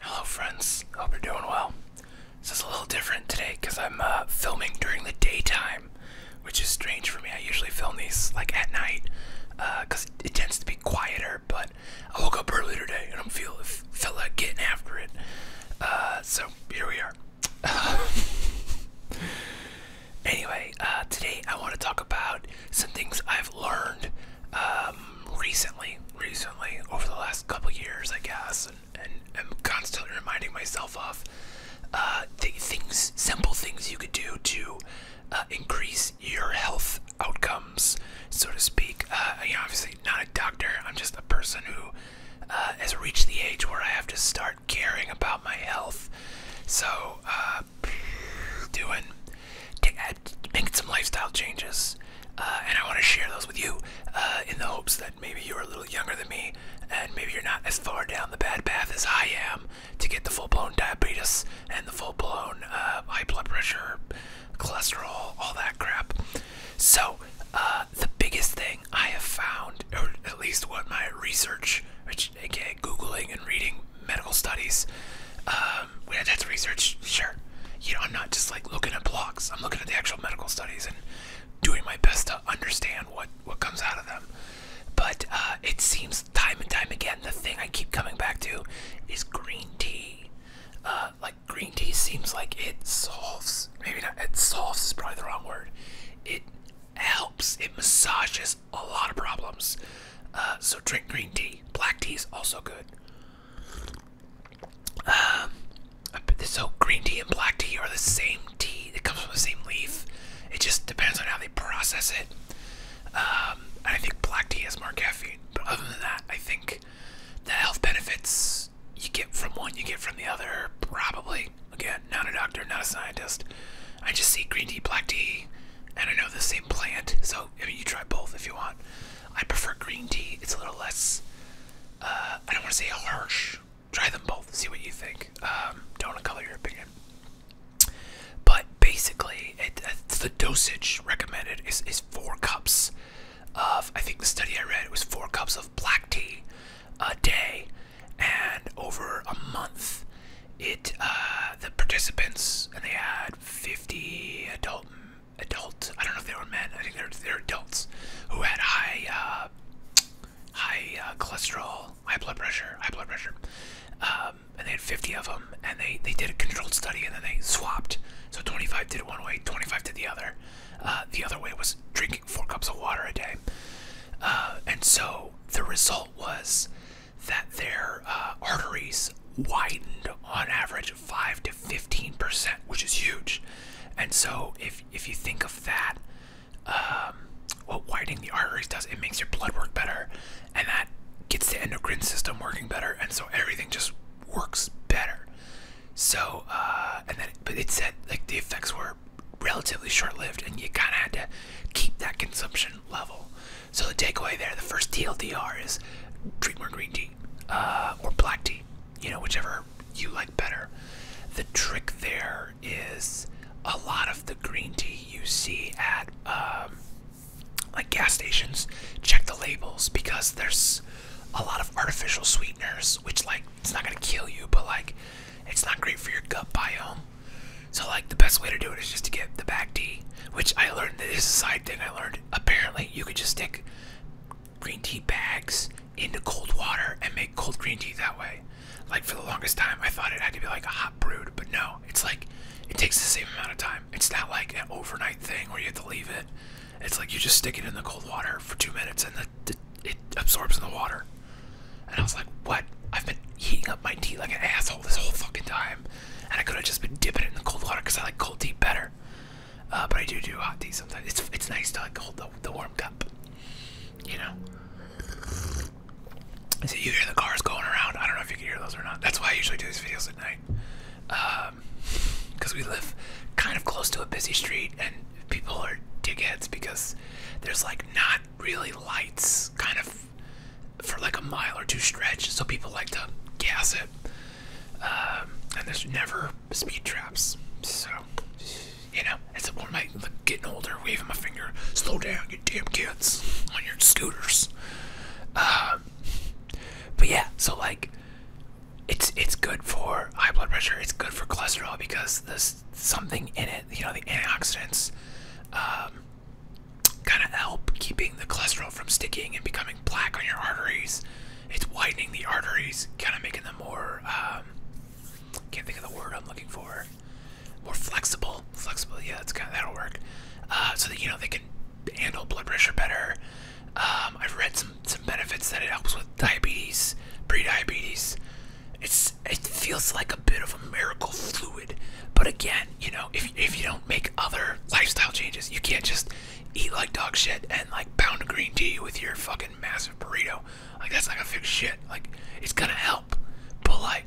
Hello, friends. Hope you're doing well. This is a little different today because I'm uh, filming during the daytime, which is strange for me. I usually film these like at night because uh, it tends to be quieter. But I woke up early today and I'm feel felt like getting after it. Uh, so here we are. anyway, today I want to talk about some things I've learned um, recently, recently over the last couple years, I guess, and, and I'm constantly reminding myself of uh, things, simple things you could do to uh, increase your health outcomes, so to speak. Uh, you know, obviously, not a doctor. I'm just a person who uh, has reached the age where I have to start caring about my health. So, uh, doing making some lifestyle changes, uh, and I want to share those with you uh, in the hopes that maybe you're a little younger than me, and maybe you're not as far down the bad path as I am to get the full-blown diabetes and the full-blown uh, high blood pressure, cholesterol, all that crap. So the biggest thing I have found, or at least what my research, which aka googling and reading medical studies, yeah, um, that's research, sure. You know, I'm not just like looking at blocks. I'm looking at the actual medical studies and doing my best to understand what what comes out of them. But uh, it seems time and time again, the thing I keep coming back to is green tea. Uh, like green tea seems like it solves. Maybe not. It solves is probably the wrong word. It helps. It massages a lot of problems. Uh, so drink green tea. Black tea is also good. Um, so green tea and black tea are the same tea. It comes from the same leaf. It just depends on how they process it. Um, I think black tea has more caffeine, but other than that, I think the health benefits you get from one, you get from the other, probably. Again, not a doctor, not a scientist. I just see green tea, black tea, and I know the same plant. So I mean, you try both if you want. I prefer green tea. It's a little less, uh, I don't want to say harsh. Try them both, see what you think. Um, don't color your opinion. But basically, uh, the dosage recommended is, is four cups of, I think the study I read, it was four cups of black tea a day. And over a month, it uh, the participants, and they had 50 adult adults. I don't know if they were men. I think they're they're adults who had high uh, high uh, cholesterol, high blood pressure, high blood pressure, um, and they had 50 of them. And they they did a controlled study, and then they swapped. So 25 did it one way, 25 did the other. Uh, the other way was drinking four cups of water a day. and so the result was that their arteries widened on average 5 to 15%, which is huge. And so if if you think of that, um, what widening the arteries does, it makes your blood work better and that gets the endocrine system working better and so everything just works better. So uh and then but it said like the effects were relatively short-lived and you kind of had to keep that consumption level. So the takeaway there, the first TLDR is drink more green tea uh, or black tea, you know, whichever you like better. The trick there is a lot of the green tea you see at um, like gas stations. Check the labels because there's a lot of artificial sweeteners, which like it's not gonna kill you, but like it's not great for your gut biome. So like the best way to do it is just to get the back tea, which I learned. This is a side thing I learned apparently you could just stick green tea bags into cold water and make cold green tea that way. Like for the longest time, I thought it had to be like a hot brewed, but no, it's like it takes the same amount of time. It's not like an overnight thing where you have to leave it. It's like you just stick it in the cold water for two minutes and the, it absorbs in the water. And I was like, what? I've been heating up my tea like an asshole this whole fucking time. And I could have just been dipping it in the cold water because I like cold tea better. Uh, but I do do hot tea sometimes. It's it's nice to like hold the, the warm cup, you know. So you hear the cars going around. I don't know if you can hear those or not. That's why I usually do these videos at night, because um, we live kind of close to a busy street and people are dickheads because there's like not really lights, kind of for like a mile or two stretch. So people like to gas it. Um, and there's never speed traps. So, you know, it's one of like, getting older, waving my finger, slow down, you damn kids, on your scooters. Um, but yeah, so like, it's it's good for high blood pressure. It's good for cholesterol because there's something in it. You know, the antioxidants um, kind of help keeping the cholesterol from sticking and becoming Black on your arteries. It's widening the arteries, kind of making them more. Um, can't think of the word I'm looking for. More flexible, flexible. Yeah, that's kind of that'll work. Uh, so that you know they can handle blood pressure better. Um, I've read some some benefits that it helps with diabetes, pre-diabetes. It's it feels like a bit of a miracle fluid. But again, you know, if if you don't make other lifestyle changes, you can't just eat like dog shit and like pound a green tea with your fucking massive burrito. Like that's not gonna fix shit. Like it's gonna help, but like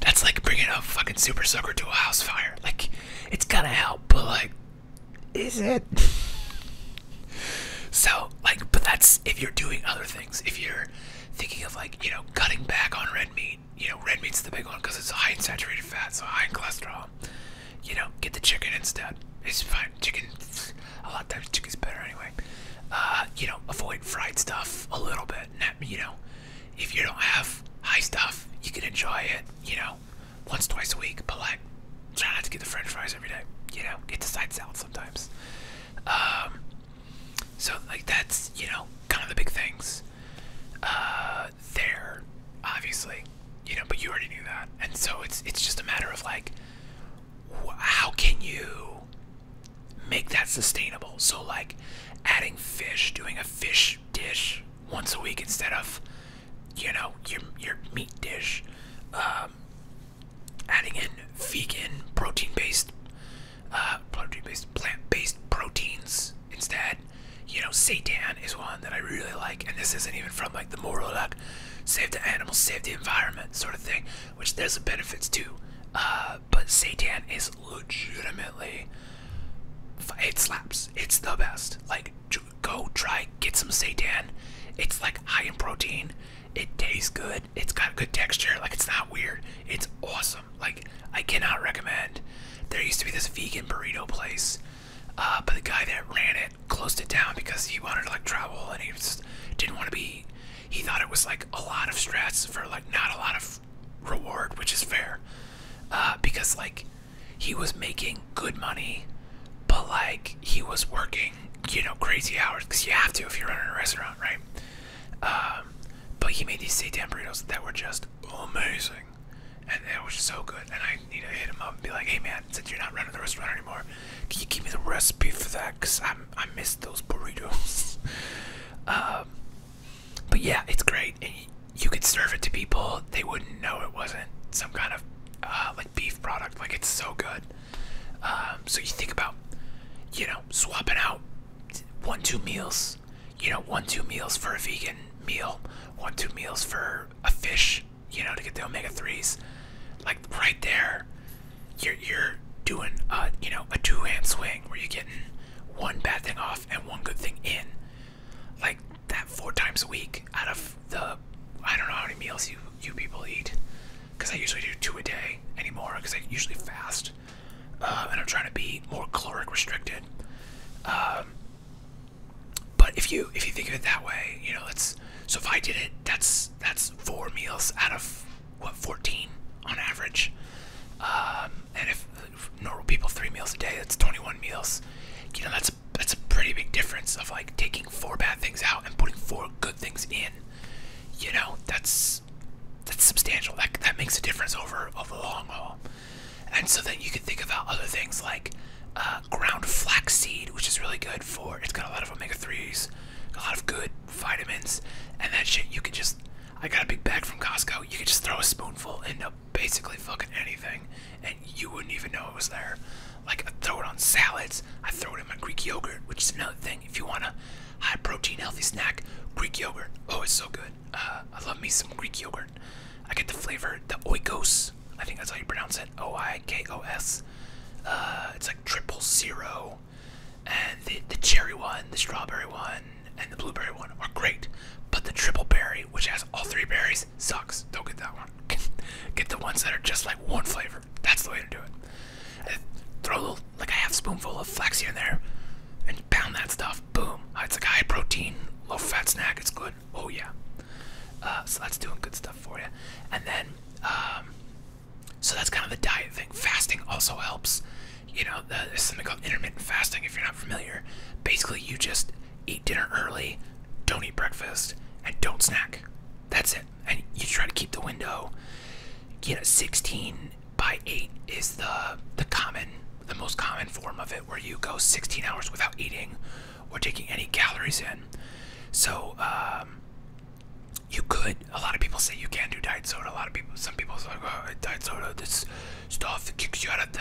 that's like bringing a fucking super sucker to a house fire. Like it's gonna help, but like is it? So, like, but that's if you're doing other things. If you're thinking of, like, you know, cutting back on red meat you know, red meat's the big one because it's high in saturated fat, so high in cholesterol. You know, get the chicken instead. It's fine. Chicken, a lot of times chicken's better anyway. Uh, you know, avoid fried stuff a little bit. You know, if you don't have high stuff, you can enjoy it, you know, once, twice a week, but like, try not to get the french fries every day. You know, get the side salad sometimes. Um, so like that's you know kind of the big things uh, there, obviously, you know. But you already knew that, and so it's it's just a matter of like, how can you make that sustainable? So like, adding fish, doing a fish dish once a week instead of, you know, your your meat dish. Um, adding in vegan protein-based uh, protein-based plant-based proteins instead. You know, seitan is one that I really like, and this isn't even from like the moral like save the animals, save the environment sort of thing, which there's some benefits too. Uh, but seitan is legitimately it slaps. It's the best. Like go try get some seitan. It's like high in protein. It tastes good. It's got good texture. Like it's not weird. It's awesome. Like I cannot recommend. There used to be this vegan burrito place, uh, but the guy that ran it closed it down because he wanted to like travel and he just didn't want to be. He thought it was like a lot of stress for like not a lot of reward, which is fair, uh, because like he was making good money, but like he was working, you know, crazy hours because you have to if you are running a restaurant, right? Um, but he made these seitan burritos that were just amazing. And it was so good. And I need to hit him up and be like, hey man, since you're not running the restaurant anymore, can you give me the recipe for that? Because I I miss those burritos. Um, but yeah, it's great. And you could serve it to people. They wouldn't know it wasn't some kind of uh, like beef product. Like it's so good. Um, so you think about, you know, swapping out one two meals you know one two meals for a vegan meal one two meals for a fish you know to get the omega-3s like right there you're you're doing uh you know a two-hand swing where you're getting one bad thing off and one good thing in like that four times a week out of the i don't know how many meals you you people eat because i usually do two a day anymore because i usually fast uh, and I'm trying to be more caloric restricted. Um, but if you if you think of it that way, you know, it's so if I did it, that's that's four meals out of what 14 on average, um, and if normal people three meals a day, that's 21 meals. You know, that's that's a pretty big difference of like taking four bad things out and putting four good things in. You know, that's that's substantial. That that makes a difference over over the long haul. And so then you can think about other things like uh, ground flaxseed, which is really good for. It's got a lot of omega threes, a lot of good vitamins, and that shit you can just. I got a big bag from Costco. You can just throw a spoonful into basically fucking anything, and you wouldn't even know it was there. Like I throw it on salads. I throw it in my Greek yogurt, which is another thing if you want a high protein, healthy snack, Greek yogurt. Oh, it's so good. Uh, I love me some Greek yogurt. I get the flavor, the oikos. I think that's how you pronounce it. O I K O S. Uh, it's like triple zero. And the cherry one, the strawberry one, and the blueberry one are great. But the triple berry, which has all three berries, sucks. Don't get that one. get the ones that are just like one flavor. That's the way to do it throw a little, like a half spoonful of flax here and there and pound that stuff. Boom. Ah, it's like a high protein, low fat snack. It's good. Oh, yeah. Uh, so that's doing good stuff for you. And then, um, so that's kind of the diet thing. Fasting also helps. You know, there's something called intermittent fasting if you're not familiar. Basically, you just eat dinner early, don't eat breakfast, and don't snack. That's it. And you try to keep the window, Get a 16 by eight is the the common the most common form of it where you go 16 hours without eating or taking any calories in so um, you could a lot of people say you can do diet soda a lot of people some people say oh, diet soda this stuff kicks you out of the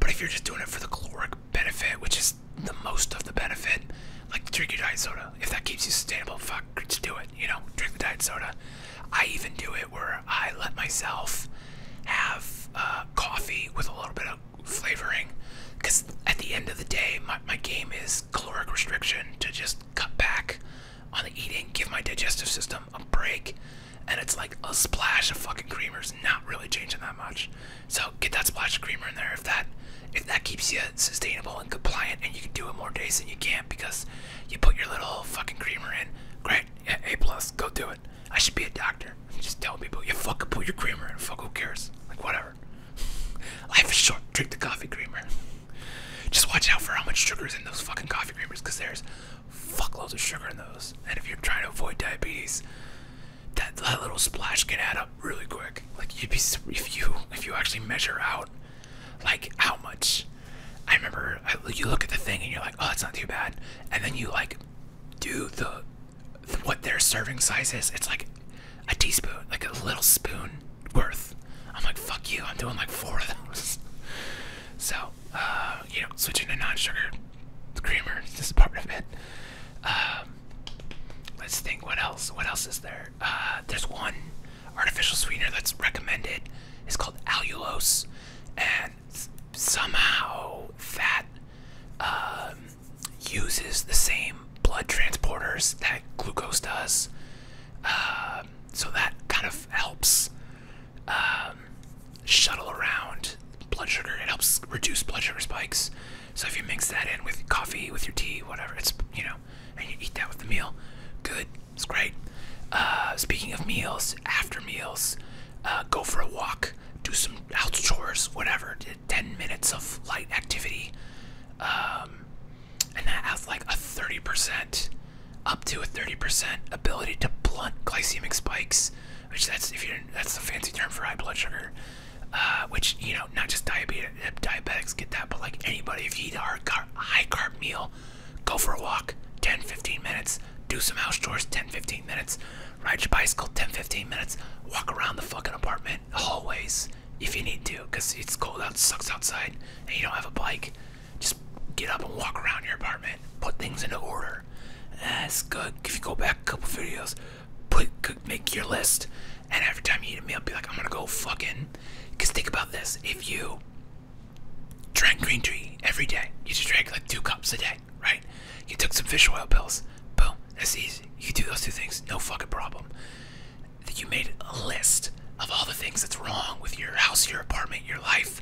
but if you're just doing it for the caloric benefit which is the most of the benefit like drink your diet soda if that keeps you sustainable fuck fuck, do it. You know, drink the diet soda. I even do it where I let myself have uh, coffee with a little bit of flavoring, because at the end of the day, my my game is caloric restriction to just cut back on the eating, give my digestive system a break, and it's like a splash of fucking creamer's not really changing that much. So get that splash of creamer in there if that if that keeps you sustainable and compliant, and you can do it more days than you can because you put your little fucking creamer in. Great, A plus. Go do it. I should be a doctor. Just tell people you fucking put your creamer in. Fuck, who cares? Like whatever. Life is short. Drink the coffee creamer. Just watch out for how much sugar is in those fucking coffee creamers, cause there's fuckloads of sugar in those. And if you're trying to avoid diabetes, that, that little splash can add up really quick. Like you'd be if you if you actually measure out like how much? I remember you look at the thing and you're like, oh, it's not too bad, and then you like do the, what their serving size is. It's like a teaspoon, like a little spoon worth. I'm like, fuck you. I'm doing like four of those. so, uh, you know, switching to non-sugar creamer. is just part of it. Um, let's think. What else? What else is there? Uh, there's one artificial sweetener that's recommended. It's called allulose, and somehow that um, uses the same blood transporters that glucose does. Um, so that kind of helps um, shuttle around blood sugar. It helps reduce blood sugar spikes. So if you mix that in with coffee, with your tea, whatever, it's you know, and you eat that with the meal, good. It's great. Uh, speaking of meals, after meals, uh, go for a walk, do some house chores, whatever. Ten minutes of light activity, um, and that has like a thirty percent, up to a thirty percent ability to blunt glycemic spikes, which that's if you that's the fancy term for high blood sugar. Uh, which you know, not just diabetes, diabetics get that, but like anybody, if you eat a high carb meal, Go for a walk, 10 15 minutes. Do some house chores, 10 15 minutes. Ride your bicycle, 10 15 minutes. Walk around the fucking apartment, hallways, if you need to, because it's cold out, sucks outside, and you don't have a bike. Just get up and walk around your apartment, put things into order. That's good. If you go back a couple videos, put make your list, and every time you eat a meal, be like, I'm gonna go fucking. Because think about this if you Drank green tea every day. You just drank like two cups a day, right? You took some fish oil pills. Boom. That's easy. You do those two things, no fucking problem. You made a list of all the things that's wrong with your house, your apartment, your life.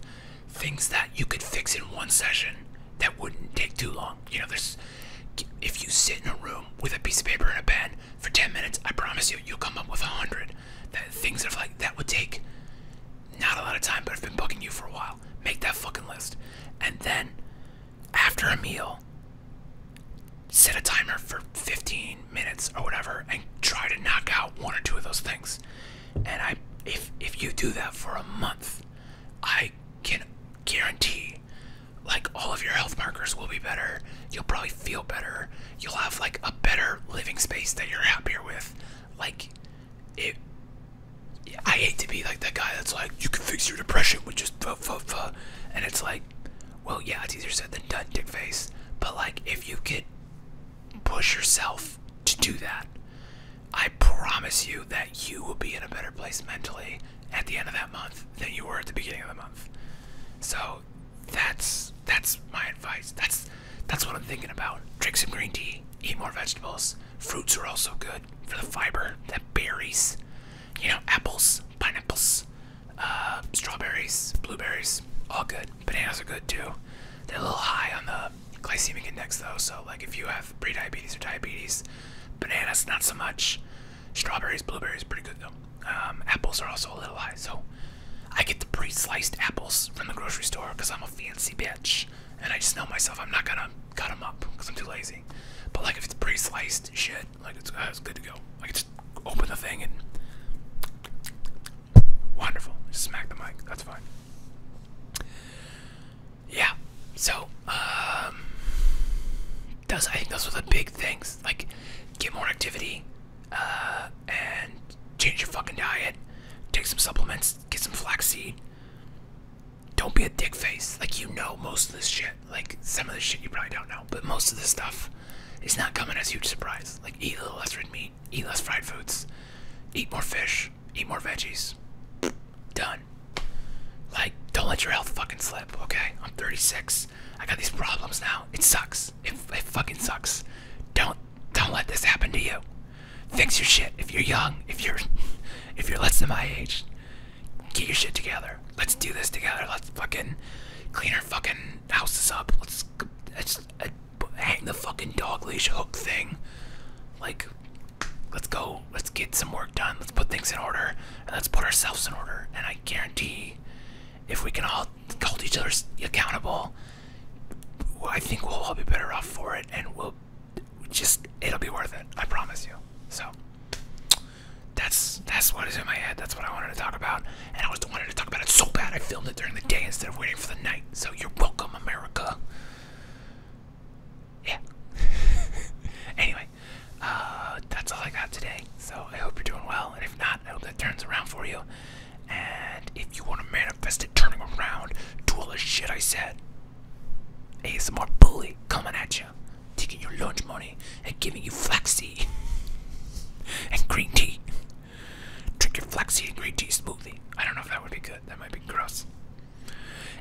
Things that you could fix in one session that wouldn't take too long. You know, there's if you sit in a room with a piece of paper and a pen for 10 minutes, I promise you, you'll come up with a hundred. things that are like that would take not a lot of time, but I've been bugging you for a while. Make that fucking list. And then after a meal, set a timer for 15 minutes or whatever and try to knock out one or two of those things. And I if if you do that for a month, I can guarantee like all of your health markers will be better. You'll probably feel better you'll have like a better living space that you're happier with. Like it I hate to be like that guy that's like you can fix your depression with just fuh, fuh, fuh. and it's like well yeah, it's easier said than done, dick face. But like if you could push yourself to do that, I promise you that you will be in a better place mentally at the end of that month than you were at the beginning of the month. So that's that's my advice. That's that's what I'm thinking about. Drink some green tea. Eat more vegetables. Fruits are also good for the fiber. That berries, you know, apples, pineapples, uh, strawberries, blueberries, all good. Bananas are good too. They're a little high on the glycemic index though. So like if you have pre-diabetes or diabetes, bananas not so much. Strawberries, blueberries, pretty good though. Um, apples are also a little high, so I get the pre-sliced apples from the grocery store because I'm a fancy bitch, and I just know myself I'm not gonna cut them up because I'm too lazy. But like if it's pre-sliced shit, like it's, uh, good to go. I can just open the thing and wonderful, smack the mic. That's fine. Yeah. So, does um, I think those are the big things. Like, get more activity, uh, and change your fucking diet. Take some supplements. Get some flaxseed. Don't be a dick face. Like you know most of this shit. Like some of this shit you probably don't know, but most of this stuff is not coming as a huge surprise. Like eat a little less red meat. Eat less fried foods. Eat more fish. Eat more veggies. Done. Like, don't let your health fucking slip, okay? I'm 36. I got these problems now. It sucks. It, fucking sucks. Don't don't let this happen to you. Fix your shit. If you're young, if you're if you're less than my age, get your shit together. Let's do this together. Let's fucking clean our fucking houses up. Let's let's uh, hang the fucking dog leash hook thing. Like, let's go. Let's get some work done. Let's put things in order, and let's put ourselves in order. And I guarantee if we can all hold each other accountable, I think we'll all be better off for it, and we'll just it'll be worth it. I promise you. So that's that's what is in my head. That's what I wanted to talk about, and I was wanted to talk about it so bad I filmed it during the day instead of waiting for the night. So you're welcome, America. Yeah. anyway, uh, that's all I got today. So I hope you're doing well, and if not, I hope that turns around for you. And if you want to manifest it turning around, do all the shit I said. ASMR bully coming at you, taking your lunch money and giving you flaxseed and green tea. Drink your flaxseed and green tea smoothie. I don't know if that would be good. That might be gross.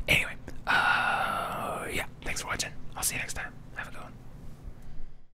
Anyway, uh, yeah, thanks for watching. I'll see you next time. Have a good one.